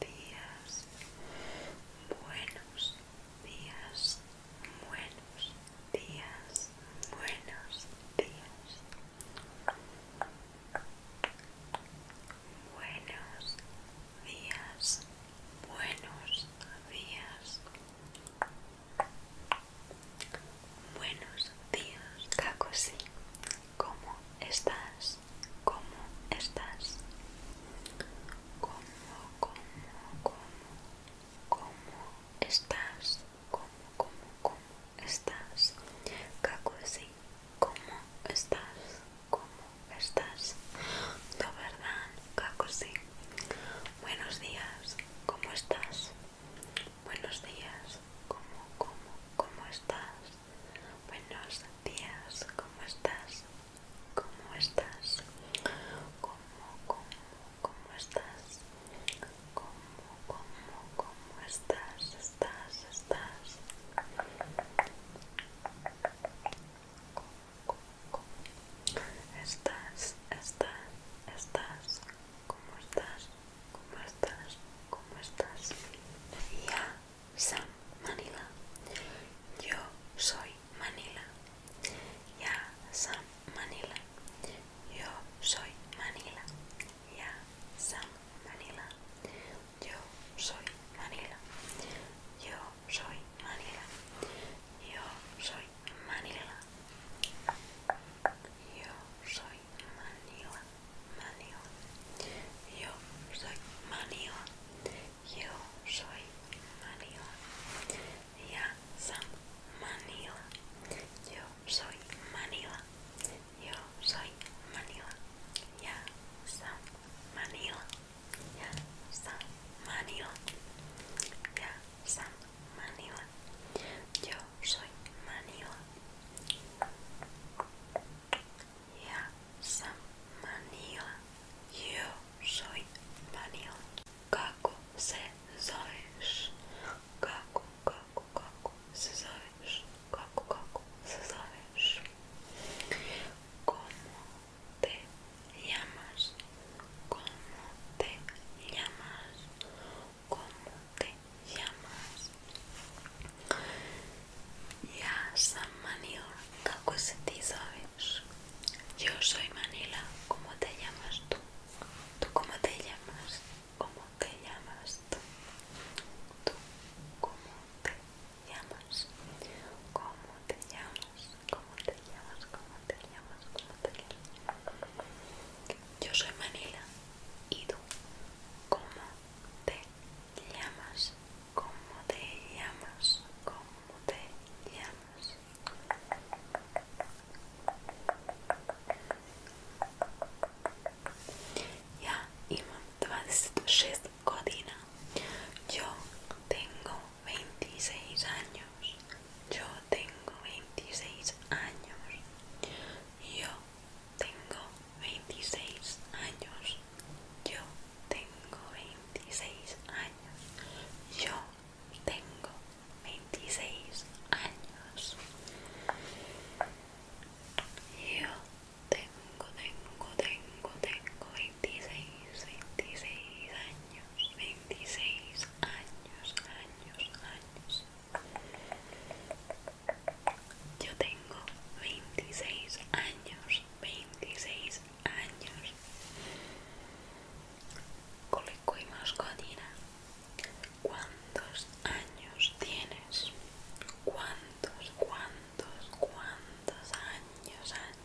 días, buenos días, buenos días, buenos días. Buenos días, buenos días. Buenos días, cacosi ¿Cómo estás? ¿Cómo estás? ¿Cómo, cómo, cómo, cómo estás? ¿Cómo, cómo, cómo estás? sí, ¿cómo estás? ¿Cómo estás? ¿No verdad, sí? Buenos días, ¿cómo estás? Buenos días, ¿cómo, cómo, cómo estás? buenos días, ¿cómo estás? ¿Cómo estás? ¿Cómo, cómo, cómo estás? ¿Cómo, cómo, cómo estás? ¿Estás, estás? Estás, estás, estás, ¿cómo estás? ¿Cómo estás? ¿Cómo estás? Ya Sam Manila. Yo soy Manila. Ya Sam Manila. Yo soy Manila. Ya Sam Manila. Yo soy Manila. Yo soy Manila. Yo soy Manila. Yo soy soy Manila, Manila. Yo soy Manila. Yo soy Manila. Ya son Manila. Yo soy Manila. Yo soy Manila. Ya son Manila. Ya son Manila. Ya son Manila. Yo soy manioc. Yeah, some manioc. Yo soy manioc. Kako se zoveš? Kako, kako, kako se zoveš? Kako, kako se zoveš? Como te llamas? Como te llamas? cómo te llamas. Ya San manila es se ti sabes? Yo soy Manila, ¿cómo te llamas tú? ¿Tú cómo te llamas? ¿Cómo te llamas tú? ¿Tú cómo te llamas? ¿Cómo te llamas? ¿Cómo te llamas? ¿Cómo te llamas? ¿Cómo te llamas? Yo soy Manila. ¿Y tú? ¿Cómo te llamas? ¿Cómo te llamas? ¿Cómo te llamas? Ya, Ima, Godina. Yo tengo 26 años yo tengo 26 años, yo tengo 26 años, yo tengo 26 años, yo tengo 26 años. Yo tengo, tengo, tengo, tengo 26, 26 años. 26 años, años, años. Yo tengo 26 años, 26 años. Coleco y mascotina. ¿Cuántos años tienes? ¿Cuántos, cuántos, cuántos años, años?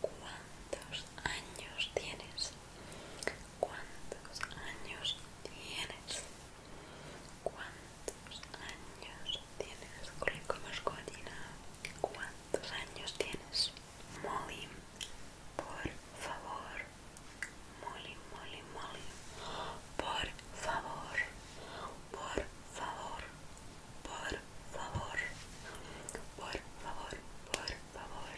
¿Cuántos años tienes? ¿Cuántos años tienes? ¿Cuántos años tienes? ¿Cuántos años tienes? Molly, por favor. Molly, Molly, Molly. Por favor. Por favor por favor, por favor, por favor.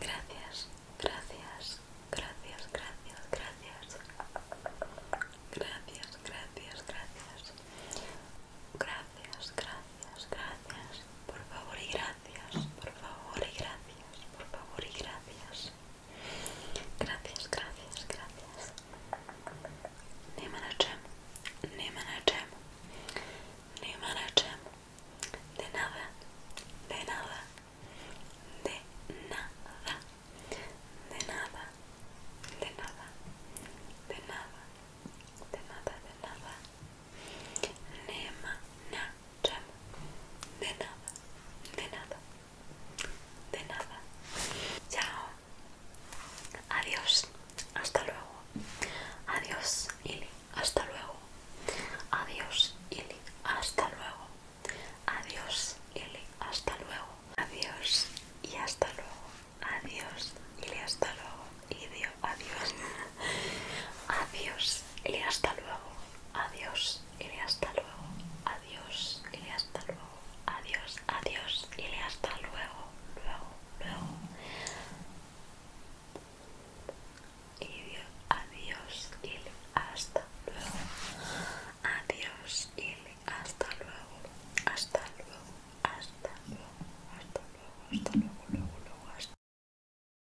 Gracias, gracias, gracias, gracias, gracias. Gracias, gracias, gracias. Gracias, gracias, gracias. Por favor y gracias, por favor y gracias, por favor y gracias. Gracias, gracias, gracias. Neman Ne Nemanajem. De nada, de nada, de nada, de nada, de nada, de nada, de nada, de nada. Nema, nada, de nada, de nada. De nada. Chao. Adiós. Hasta luego. Adiós, Ili. Hasta luego. Adiós, Ili. Hasta luego. Adiós, Ili. Hasta luego. Adiós y hasta luego. Adiós, Ili. Hasta luego. Y adiós. Adiós, y Hasta luego. Adiós y hasta luego, adiós, y hasta luego, adiós, adiós, y hasta luego, luego, luego. Y adiós, y hasta luego, adiós, y hasta luego, hasta luego, hasta luego, hasta luego, hasta luego, luego, luego, hasta